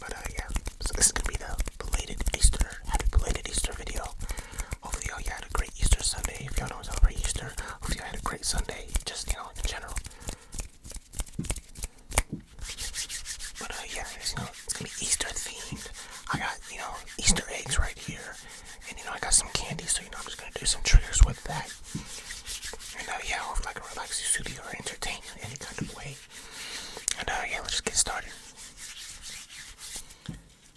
But uh, yeah, so this is gonna be the belated Easter, happy belated Easter video. Hopefully, y'all had a great Easter Sunday. If y'all don't celebrate Easter, hopefully you had a great Sunday. Just you know, in general. But uh, yeah, you know, it's gonna be Easter themed. I got you know Easter eggs right here, and you know I got some candy, so you know I'm just gonna do some triggers with that. And uh, yeah, or like a relaxing studio or entertainment, any kind of way. And uh, yeah, let's just get started.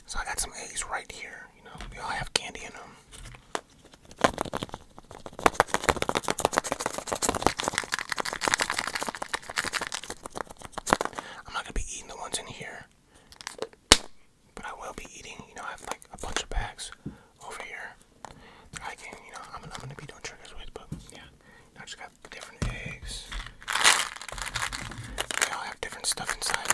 So I got some eggs right here. You know, we all have candy in them. I'm not gonna be eating the ones in here, but I will be eating. You know, I have like a bunch of bags over here that I can. You know, I'm, i gonna be doing tricks with, but yeah, I just got have different eggs. They all have different stuff inside them.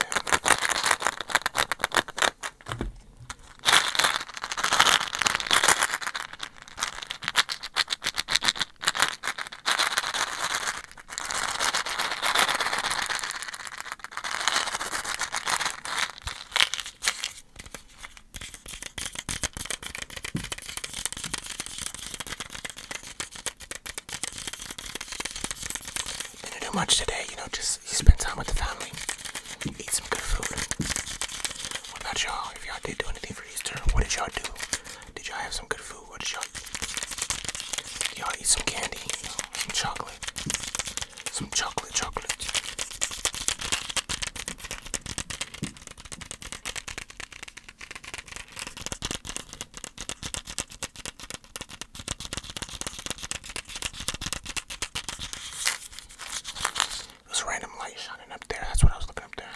Didn't do much today, you know, just spend time with the family, eat some good food. What about y'all? If y'all did do anything for Easter, what did y'all do? Did y'all have some good food? What y'all Y'all eat some candy, some chocolate. Some chocolate chocolate. There's random light shining up there. That's what I was looking up there.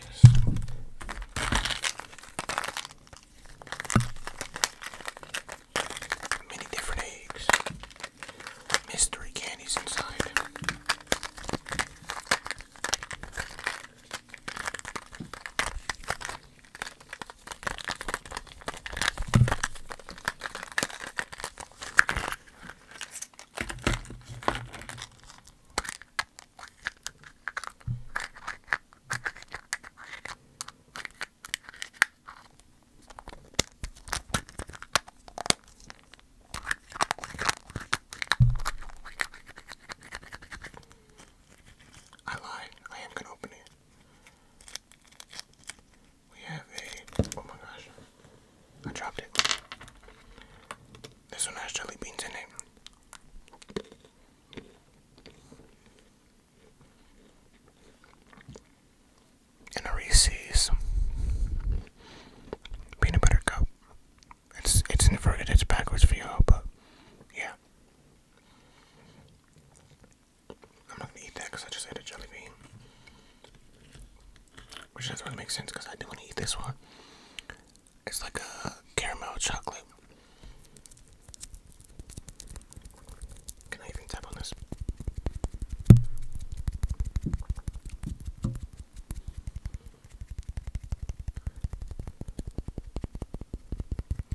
Yes. Many different eggs mystery candies inside. I lied. I am gonna open it. We have a. Oh my gosh. I dropped it. This one has jelly beans in it. And Reese's peanut butter cup. It's it's inverted, it's backwards for you but yeah. I'm not gonna eat that because I just ate a jelly bean. Which doesn't really make sense because I do want to eat this one. It's like a caramel chocolate. Can I even tap on this?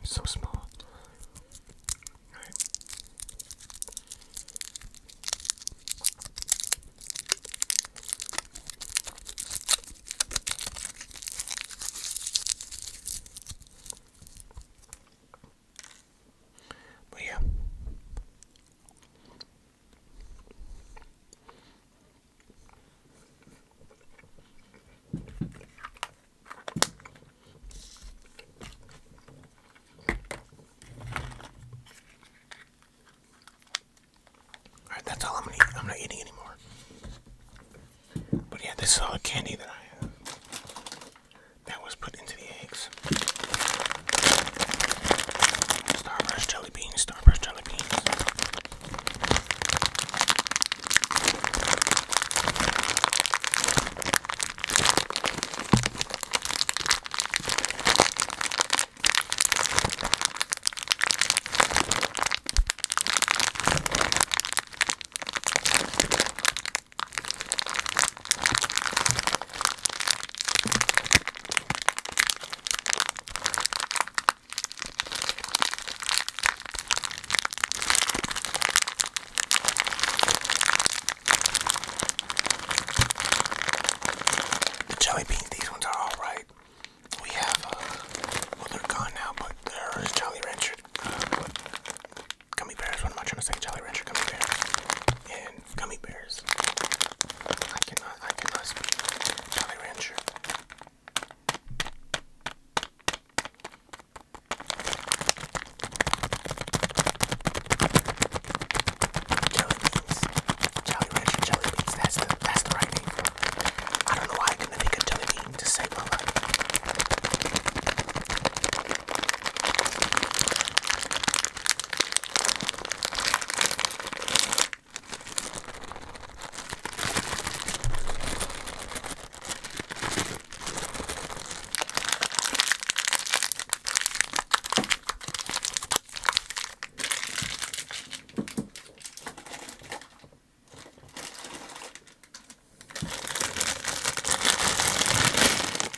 So small. But yeah, all right, that's all I'm gonna eat. I'm not eating anymore. But yeah, this is all the candy that I have that was put into the eggs beans. Starburst jelly beans, Starburst jelly beans. The jelly beans, these ones are alright. We have, uh, well, they're gone now, but there is Jolly Rancher uh, gummy bears. What am I trying to say? Jolly Rancher gummy bears gummy bears. I cannot, I cannot speak. Jolly Rancher. Jelly beans. Jelly Rancher jelly beans. That's the, that's the right name. I know why I couldn't think of jelly to save my life.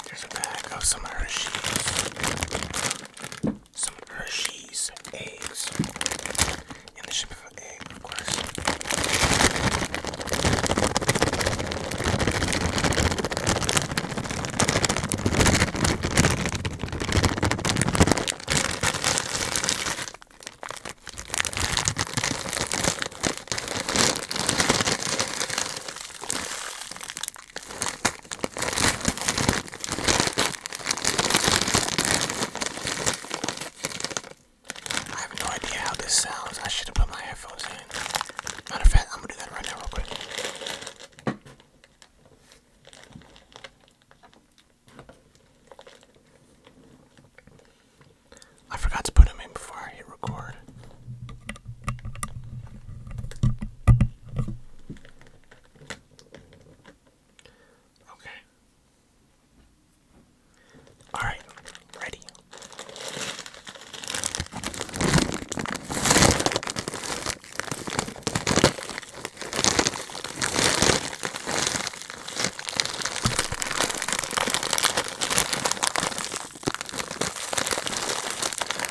There's a bag of some Hershey's some Hershey's eggs. In the shape of an egg, of course. I have no idea how this sounds. I should have put my headphones in. Matter of fact, I'm gonna do that right now, real quick. I forgot to put them in before I hit record. Okay. All right, ready.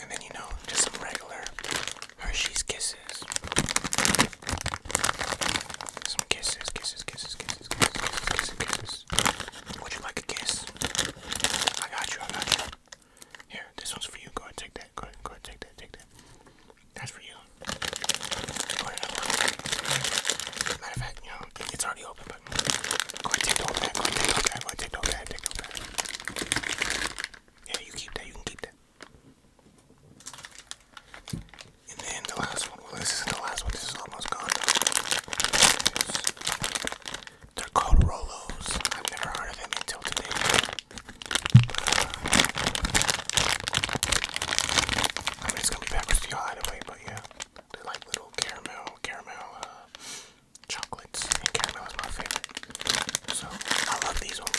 And then, you know, just some regular Hershey's Kisses. Some kisses, kisses, kisses, kisses, kisses, kisses, kisses, Would you like a kiss? I got you, I got you. Here, this one's for you. Go ahead, take that. Go ahead, go ahead, take that, take that. That's for you. Matter of fact, you know, it's already open. Yeah, you keep that. You can keep that. And then the last one. this is the last one. This is almost gone. They're called Rolos. I've never heard of them until today. I mean, it's gonna be backwards to y'all but yeah, they're like little caramel, caramel, uh, chocolates and caramel is my favorite. So I love these ones.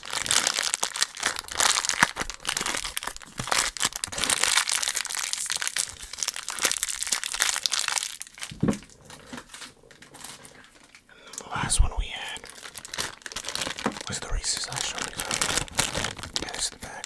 And the last one we had was the Reese's I showed you. Yeah, this is the back.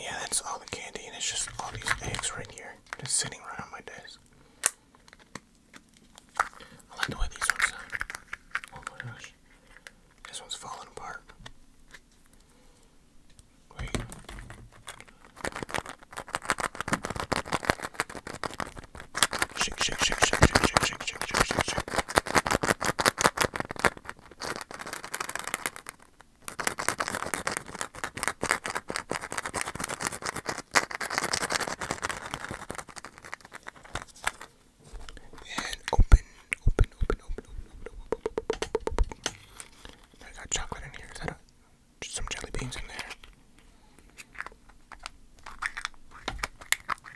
yeah, that's all the candy, and it's just all these eggs right here, just sitting right on my desk. I like the way these ones sound. Oh my gosh. This one's falling apart. Wait. Shake, shake, shake, shake, shake, shake, shake, shake, shake, shake, shake. And open, open, open, open, open, open, open, open. I got chocolate in here. Is that a, just some jelly beans in there?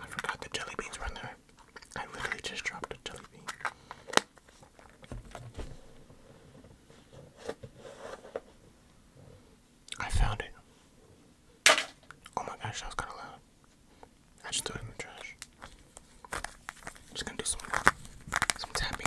I forgot the jelly beans right there. I literally just dropped a jelly bean. I found it. Oh my gosh, that was kind of loud. I just threw it in the trash. Just gonna do some some tapping.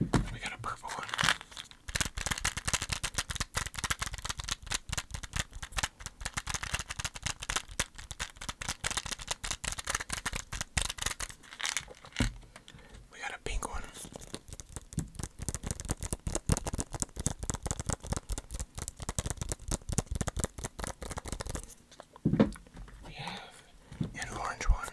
We got a purple one. We got a pink one. We have an orange one.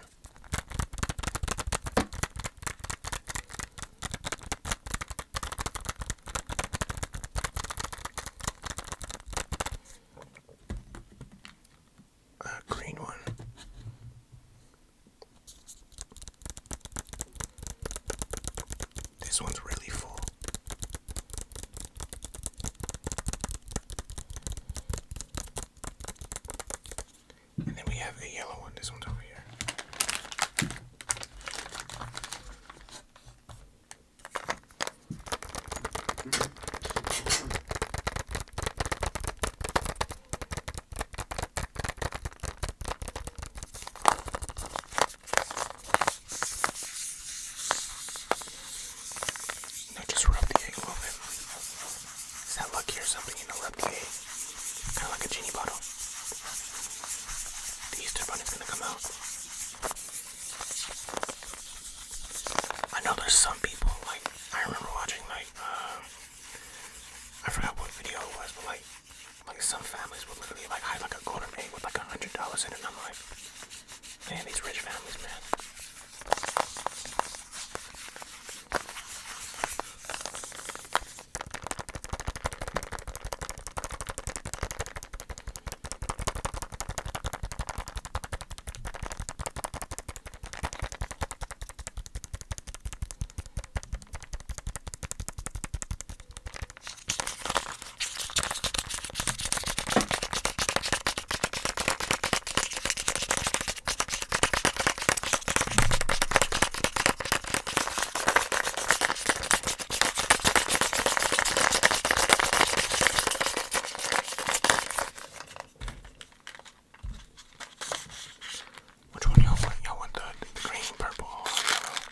A green one. This one's really full. And then we have a yellow one. This one's over here just rub the egg a little bit. Is that lucky or something? You know, rub the egg. Kind of like a genie bottle. The Easter bunny's gonna come out. I know there's some people, like, I remember watching, like, uh, I forgot what video it was, but like, like some families will literally like hide like a golden egg with like a hundred dollars in it. And man, these rich families, man. Which one y'all want? Y'all want the, the green, purple, or yellow?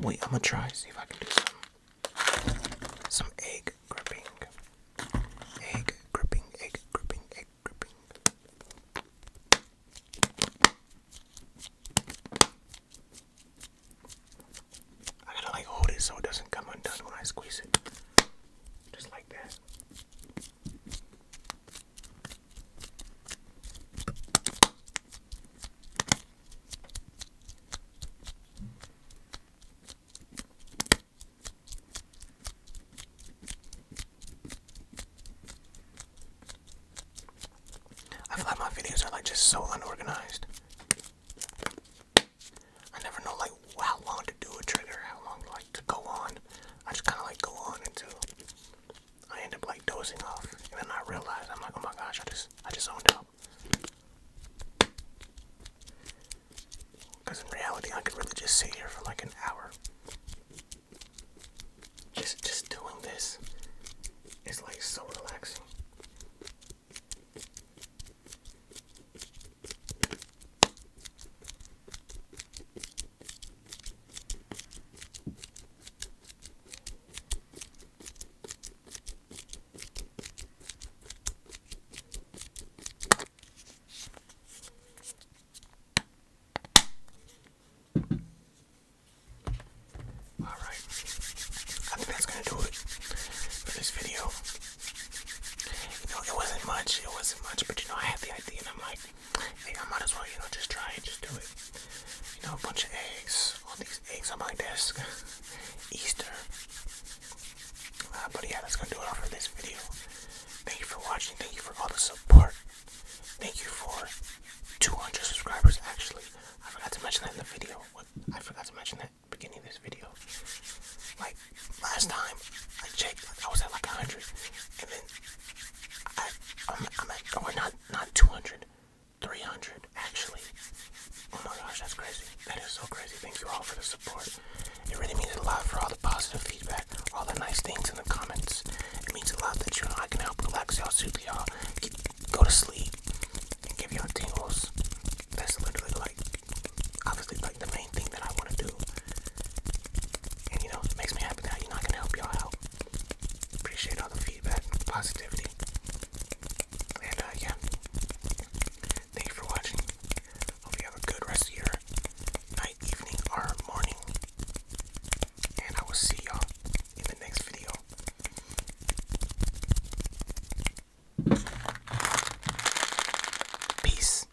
Wait, I'm gonna try see if I can do some some egg gripping. Egg gripping, egg gripping, egg gripping. I gotta like hold it so it doesn't come undone when I squeeze it. Just like that. I feel like my videos are like just so unorganized. I never know like how long to do a trigger, how long like to go on. I just kind of like go on until I end up like dozing off, and then I realize I'm like, oh my gosh, I just I just zoned out. Because in reality, I could really just sit here for like an hour. Just just doing this It's like so relaxing. All right, I think that's gonna do it for this video. You know, it wasn't much, it wasn't much, but you know, I had the idea, and I'm like, hey, I might as well, you know, just try it, just do it. You know, a bunch of eggs, all these eggs on my desk, Easter. Uh, but yeah, that's gonna do it for this video. Thank you for watching, thank you for all the support. Thank you for 200 subscribers, actually. I forgot to mention that in the video. I forgot to mention that beginning of this video. Like, last time I checked, I was at like 100, and then I, I'm, at, or not, not 200, 300 actually. Oh my gosh, that's crazy. That is so crazy. Thank you all for the support. It really means a lot for all the positive feedback, all the nice things in the comments. It means a lot that you know I can help relax y'all, soothe y'all, go to sleep, and give y'all tingles. That's literally like, obviously like the main thing that I want to do. And you know, makes me happy that you know I can help y'all out. Appreciate all the feedback, positivity. And uh, yeah. Thank you for watching. Hope you have a good rest of your night, evening, or morning. And I will see y'all in the next video. Peace.